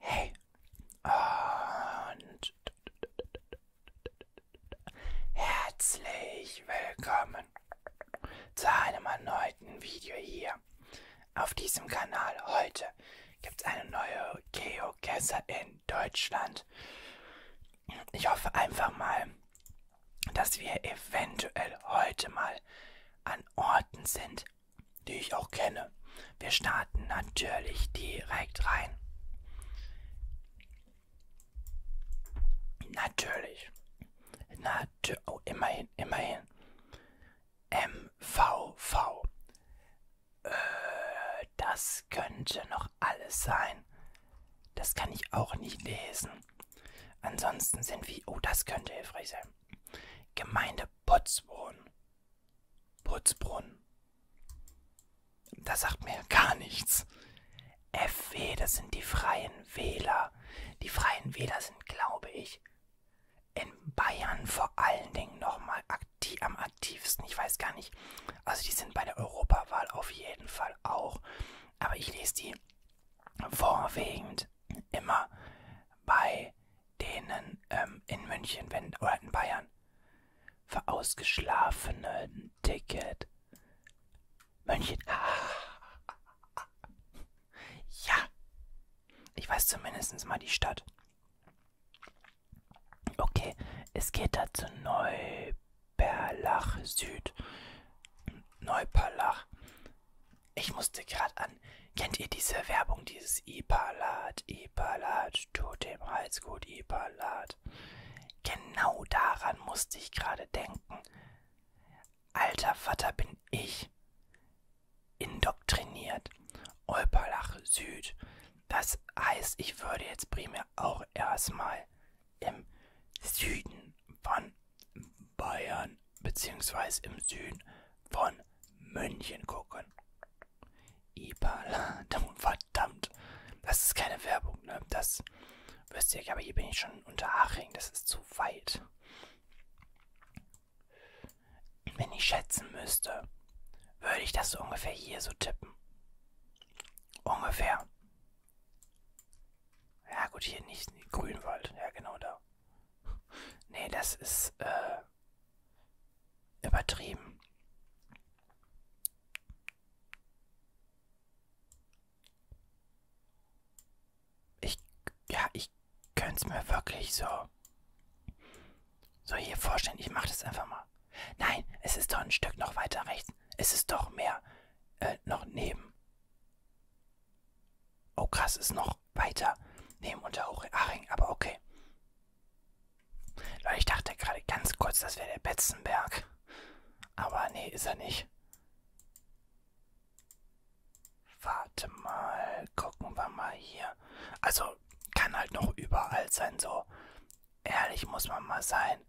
Hey. Und herzlich willkommen zu einem erneuten Video hier auf diesem Kanal. Heute gibt es eine neue Geocacher in Deutschland. Ich hoffe einfach mal, dass wir eventuell heute mal an Orten sind, die ich auch kenne. Wir starten natürlich direkt rein. Natürlich. Natu oh, immerhin, immerhin. MVV. Äh, das könnte noch alles sein. Das kann ich auch nicht lesen. Ansonsten sind wir, oh, das könnte hilfreich sein. Gemeinde Potzbrunn. Putzbrunn. Das sagt mir gar nichts. FW, das sind die Freien Wähler. Die Freien Wähler sind, glaube ich, in Bayern vor allen Dingen nochmal aktiv, am aktivsten. Ich weiß gar nicht. Also die sind bei der Europawahl auf jeden Fall auch. Aber ich lese die vorwiegend immer bei denen ähm, in München wenn, oder in Bayern für ausgeschlafene ein Ticket. München. Ja. Ich weiß zumindest mal die Stadt. Okay, es geht dazu Neuperlach Süd. Neuperlach. Ich musste gerade an. Kennt ihr diese Werbung, dieses Ipalat, Ipalat, tut dem Hals gut, Ipalat? Genau daran musste ich gerade denken. Alter Vater bin ich indoktriniert. Olperlach Süd. Das heißt, ich würde jetzt primär auch erstmal im Süden von Bayern bzw. im Süden von München gucken. Ipaladung, verdammt. Das ist keine Werbung, ne? Das wisst ihr, aber hier bin ich schon unter Haching, das ist zu weit. Wenn ich schätzen müsste, würde ich das so ungefähr hier so tippen. Ungefähr. Ja gut, hier nicht. Grünwald. Ja, genau da. Nee, das ist äh, übertrieben. Ich, ja, ich könnte es mir wirklich so, so hier vorstellen. Ich mache das einfach mal. Nein, es ist doch ein Stück noch weiter rechts. Es ist doch mehr äh, noch neben. Oh krass, ist noch weiter neben Unterhaching, aber okay. Leute, ich dachte gerade ganz kurz, das wäre der Betzenberg. Aber nee, ist er nicht. Warte mal, gucken wir mal hier. Also, kann halt noch überall sein, so. Ehrlich muss man mal sein,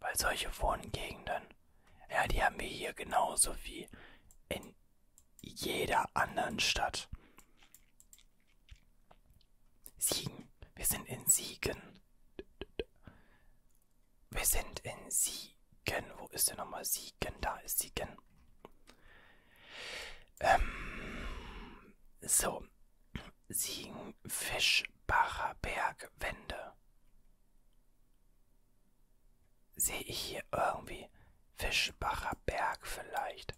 weil solche Wohngegenden ja, die haben wir hier genauso wie in jeder anderen Stadt. Siegen. Wir sind in Siegen. Wir sind in Siegen. Wo ist denn nochmal Siegen? Da ist Siegen. Ähm, so. Siegen, Fischbacher Bergwände. Sehe ich hier irgendwie Fischbacher Berg vielleicht?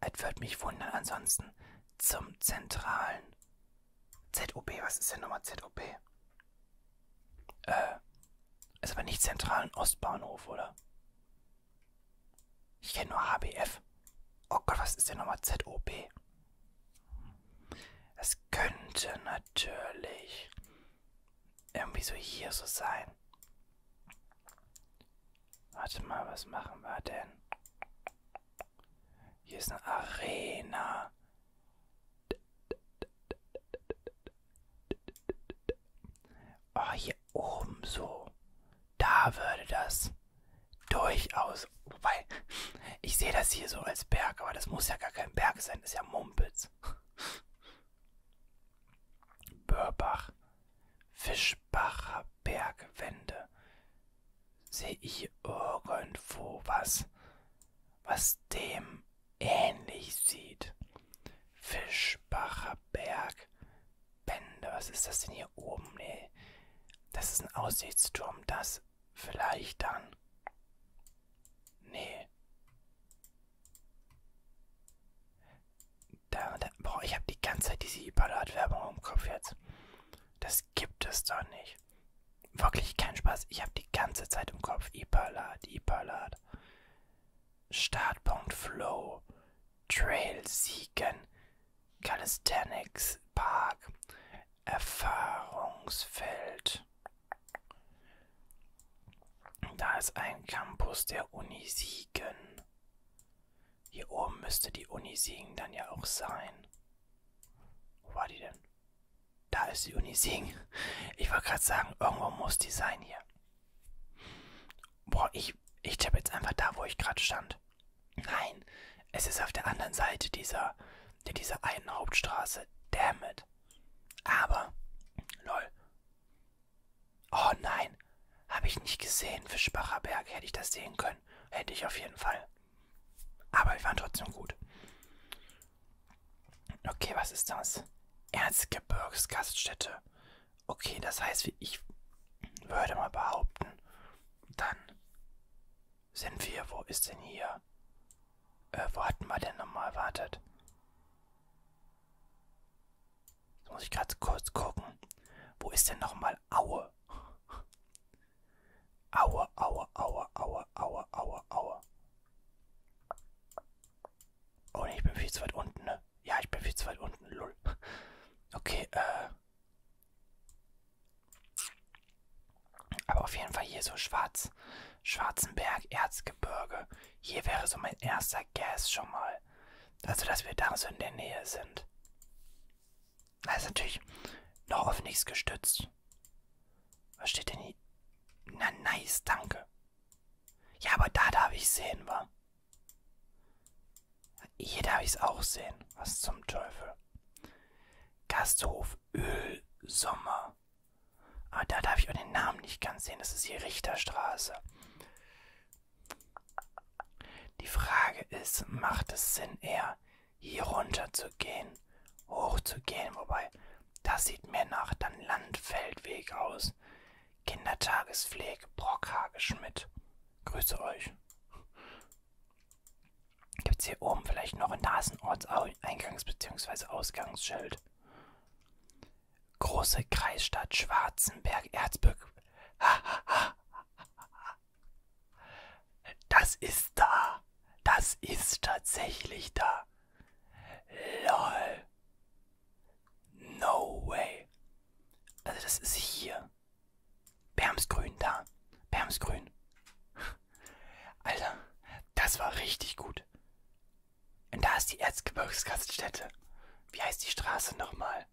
Es würde mich wundern, ansonsten zum zentralen ZOB. Was ist denn nochmal ZOB? Äh, ist aber nicht zentralen Ostbahnhof, oder? Ich kenne nur HBF. Oh Gott, was ist denn nochmal ZOB? Es könnte natürlich irgendwie so hier so sein. Warte mal, was machen wir denn? Hier ist eine Arena. Oh, hier oben so. Da würde das durchaus. Wobei, ich sehe das hier so als Berg, aber das muss ja gar kein Berg sein sein, ist ja Mumpitz. Börbach, Fischbacher Bergwände. Sehe ich irgendwo was, was dem ähnlich sieht? Fischbacher Bergwände, was ist das denn hier oben? Nee, das ist ein Aussichtsturm, das Vielleicht dann. Nee. Da, da, boah, ich habe die ganze Zeit diese Ibadat-Werbung im Kopf jetzt. Das gibt es doch nicht. Wirklich kein Spaß. Ich habe die ganze Zeit im Kopf Ibadat, Ibadat. Startpunkt Flow. Trail Siegen. Calisthenics Park. Erfahrungsfeld. Da ist ein Campus der Uni Siegen. Hier oben müsste die Uni Siegen dann ja auch sein. Wo war die denn? Da ist die Uni Siegen. Ich wollte gerade sagen, irgendwo muss die sein hier. Boah, ich, ich tippe jetzt einfach da, wo ich gerade stand. Nein, es ist auf der anderen Seite dieser in dieser einen Hauptstraße. Damn it. Aber, lol. Oh nein, habe ich nicht gesehen. Fischbacher Berg hätte ich das sehen können. Hätte ich auf jeden Fall. Aber wir waren trotzdem gut. Okay, was ist das? Erzgebirgsgaststätte. Okay, das heißt, ich würde mal behaupten, dann sind wir, wo ist denn hier? Äh, wo hatten wir denn nochmal? Wartet. Jetzt muss ich gerade kurz gucken. Wo ist denn nochmal Aue? Aue, Aue, Aue, Aue, Aue, Aue, Aue. Oh ne, ich bin viel zu weit unten, ne? Ja, ich bin viel zu weit unten, lol. Okay, äh. Aber auf jeden Fall hier so schwarz. Schwarzenberg, Erzgebirge. Hier wäre so mein erster Gas schon mal. Also, dass wir da so in der Nähe sind. Da ist natürlich noch auf nichts gestützt. Was steht denn hier? Na, nice, danke. Ja, aber da darf ich sehen, wa? Hier darf ich es auch sehen. Was zum Teufel. Gasthof Ölsommer. Ah, da darf ich auch den Namen nicht ganz sehen. Das ist die Richterstraße. Die Frage ist, macht es Sinn, eher hier runter zu gehen, hoch zu gehen? Wobei, das sieht mehr nach dann Landfeldweg aus. Kindertagespflege, Brockhageschmidt. Grüße euch. Gibt es hier oben vielleicht noch ein Nasenortseingangs- bzw. Ausgangsschild? Große Kreisstadt Schwarzenberg Erzbürg. Das ist da. Das ist tatsächlich da. LOL. No way. Also das ist hier. Bermsgrün da. Bermsgrün. Alter, das war richtig gut. Und da ist die Erzgebirgsgaststätte. Wie heißt die Straße nochmal?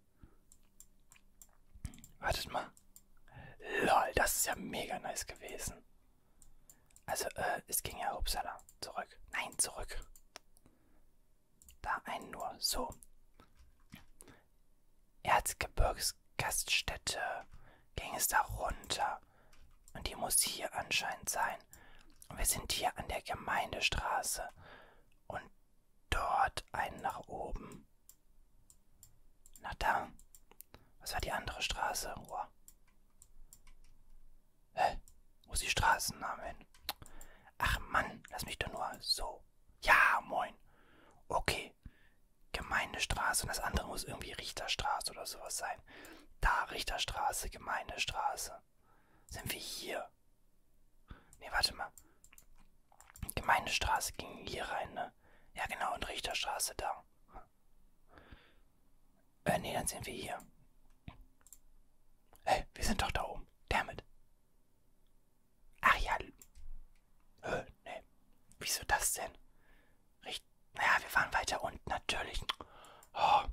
Wartet mal. Lol, das ist ja mega nice gewesen. Also, äh, es ging ja Uppsala. Zurück. Nein, zurück. Da einen nur. So. Erzgebirgsgaststätte ging es da runter. Und die muss hier anscheinend sein. Und wir sind hier an der Gemeindestraße. Und dort einen nach oben. Na da. Was war die andere Straße? Oh. Hä? Wo ist die Straßenname hin? Ach Mann, lass mich doch nur so. Ja, moin. Okay, irgendwie Gemeindestraße und das andere muss irgendwie Richterstraße oder sowas sein. Da, Richterstraße, Gemeindestraße. Sind wir hier? Ne, warte mal. Gemeindestraße ging hier rein, ne? Ja, genau, und Richterstraße da. Äh, nee, dann sind wir hier. Hey, wir sind doch da oben. Damit. Ach ja. Äh, nee. Wieso das denn? Richt naja, wir waren weiter unten natürlich. Oh,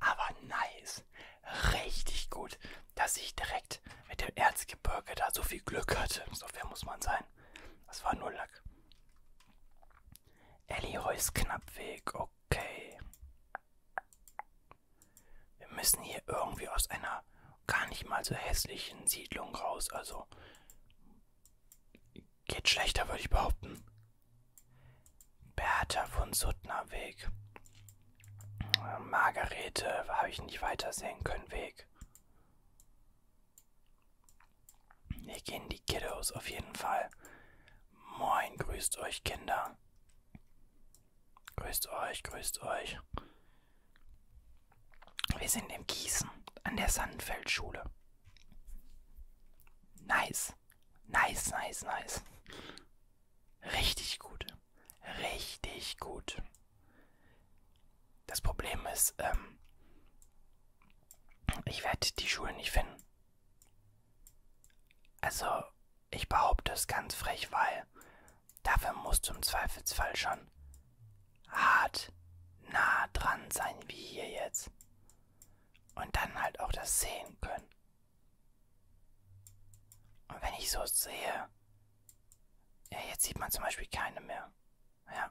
aber nice. Richtig gut, dass ich direkt mit dem Erzgebirge da so viel Glück hatte. So fair muss man sein. Das war nur Lack. Ellie Heus Knappweg, okay. Wir müssen hier irgendwie aus einer gar nicht mal so hässlichen Siedlung raus. Also Geht schlechter, würde ich behaupten. Bertha von Suttner Weg. Margarete habe ich nicht weitersehen können, Weg. Hier gehen die Kiddos auf jeden Fall. Moin, grüßt euch, Kinder. Grüßt euch, grüßt euch. Wir sind in Gießen an der Sandfeldschule. Nice. Nice, nice, nice. Richtig gut. Richtig gut. Das Problem ist, ähm, ich werde die Schule nicht finden. Also, ich behaupte es ganz frech, weil dafür musst du im Zweifelsfall schon hart nah dran sein, wie hier jetzt. Und dann halt auch das sehen können. Und wenn ich so sehe, ja, jetzt sieht man zum Beispiel keine mehr. Ja.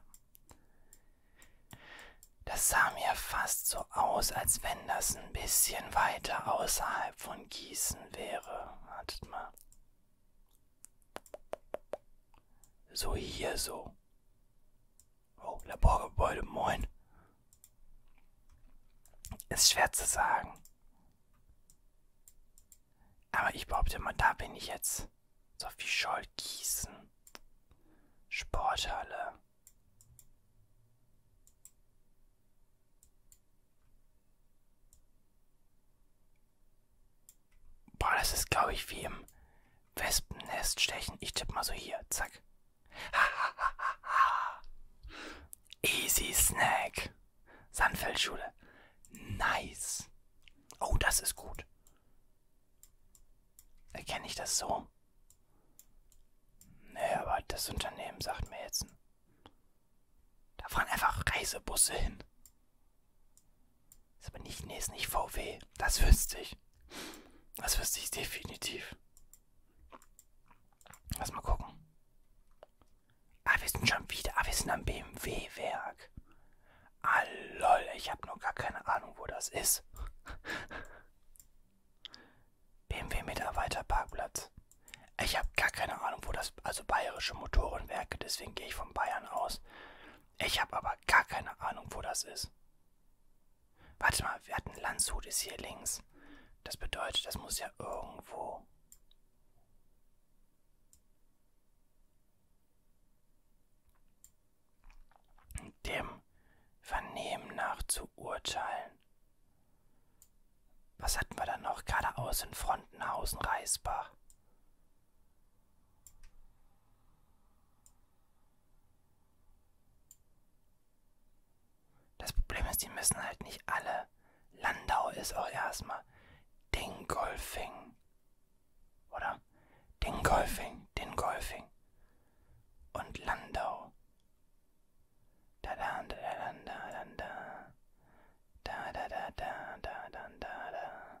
Das sah mir fast so aus, als wenn das ein bisschen weiter außerhalb von Gießen wäre. Wartet mal. So hier so. Oh, Laborgebäude, moin. Ist schwer zu sagen. Aber ich behaupte mal, da bin ich jetzt. Sophie Scholl, Gießen. Sporthalle. Boah, das ist, glaube ich, wie im Wespennest stechen. Ich tippe mal so hier. Zack. Easy Snack. Sandfeldschule. Nice. Oh, das ist gut. Erkenne ich das so? Nee, aber das Unternehmen sagt mir jetzt. Da fahren einfach Reisebusse hin. Ist aber nicht, nee, ist nicht VW. Das wüsste ich. Das wüsste ich definitiv. Lass mal gucken. Ah, wir sind schon wieder. Ah, wir sind am BMW-Werk. Ah, lol, ich habe noch gar keine Ahnung, wo das ist. BMW-Mitarbeiterparkplatz. Ich habe gar keine Ahnung, wo das, also bayerische Motorenwerke, deswegen gehe ich von Bayern aus. Ich habe aber gar keine Ahnung, wo das ist. Warte mal, wir hatten Landshut ist hier links. Das bedeutet, das muss ja irgendwo. Dem Vernehmen nach zu urteilen. Was hatten wir da noch? Geradeaus in Frontenhausen, Reisbach. Das Problem ist, die müssen halt nicht alle. Landau ist auch erstmal Dingolfing. Oder? Dingolfing, Dingolfing. Und Landau. Da da da da da da da da da da da da da da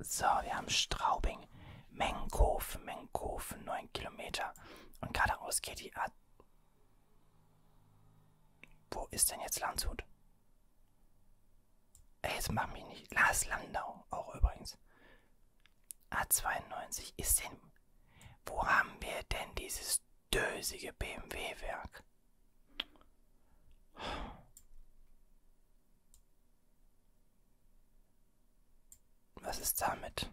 So, wir haben Straubing, Menkofen, Menkofen, 9 Kilometer. Und geradeaus geht die A. Wo ist denn jetzt Landshut? Ey, jetzt mach mich nicht. Lars Landau auch übrigens. A92 ist denn. Wo haben wir denn dieses dösige BMW-Werk? Was ist damit?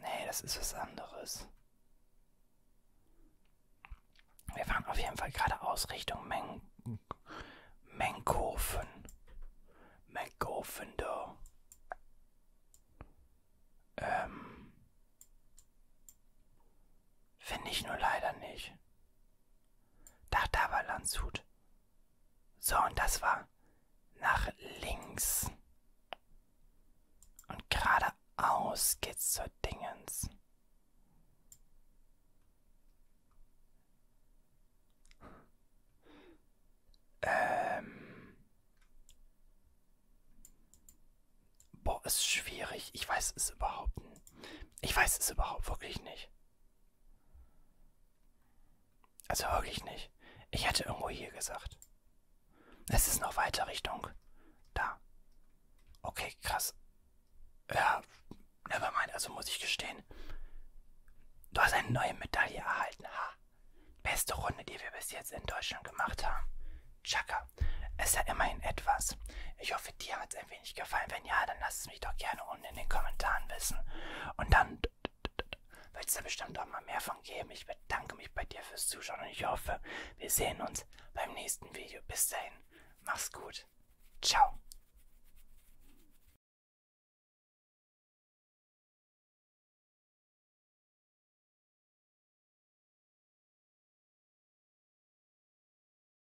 Nee, das ist was anderes. Wir fahren auf jeden Fall geradeaus Richtung Meng Menkofen. Menkofen da. Ähm. Finde ich nur leider nicht. Da, da war Landshut. So, und das war nach links. Und geradeaus geht's zur Dingens. Ähm. Boah, ist schwierig. Ich weiß es überhaupt nicht. Ich weiß es überhaupt wirklich nicht. Also wirklich nicht. Ich hätte irgendwo hier gesagt. Es ist noch weiter Richtung. Da. Okay, krass. Ja, nevermind, also muss ich gestehen. Du hast eine neue Medaille erhalten, ha. Beste Runde, die wir bis jetzt in Deutschland gemacht haben. Chaka, es ist ja immerhin etwas. Ich hoffe, hoffe, dir hat es ein wenig gefallen. Wenn ja, dann lass es mich doch gerne unten in den Kommentaren wissen. Und dann wird es da bestimmt auch mal mehr von geben. Ich bedanke mich bei dir fürs Zuschauen und ich hoffe, wir sehen uns beim nächsten Video. Bis dahin, mach's gut. Ciao.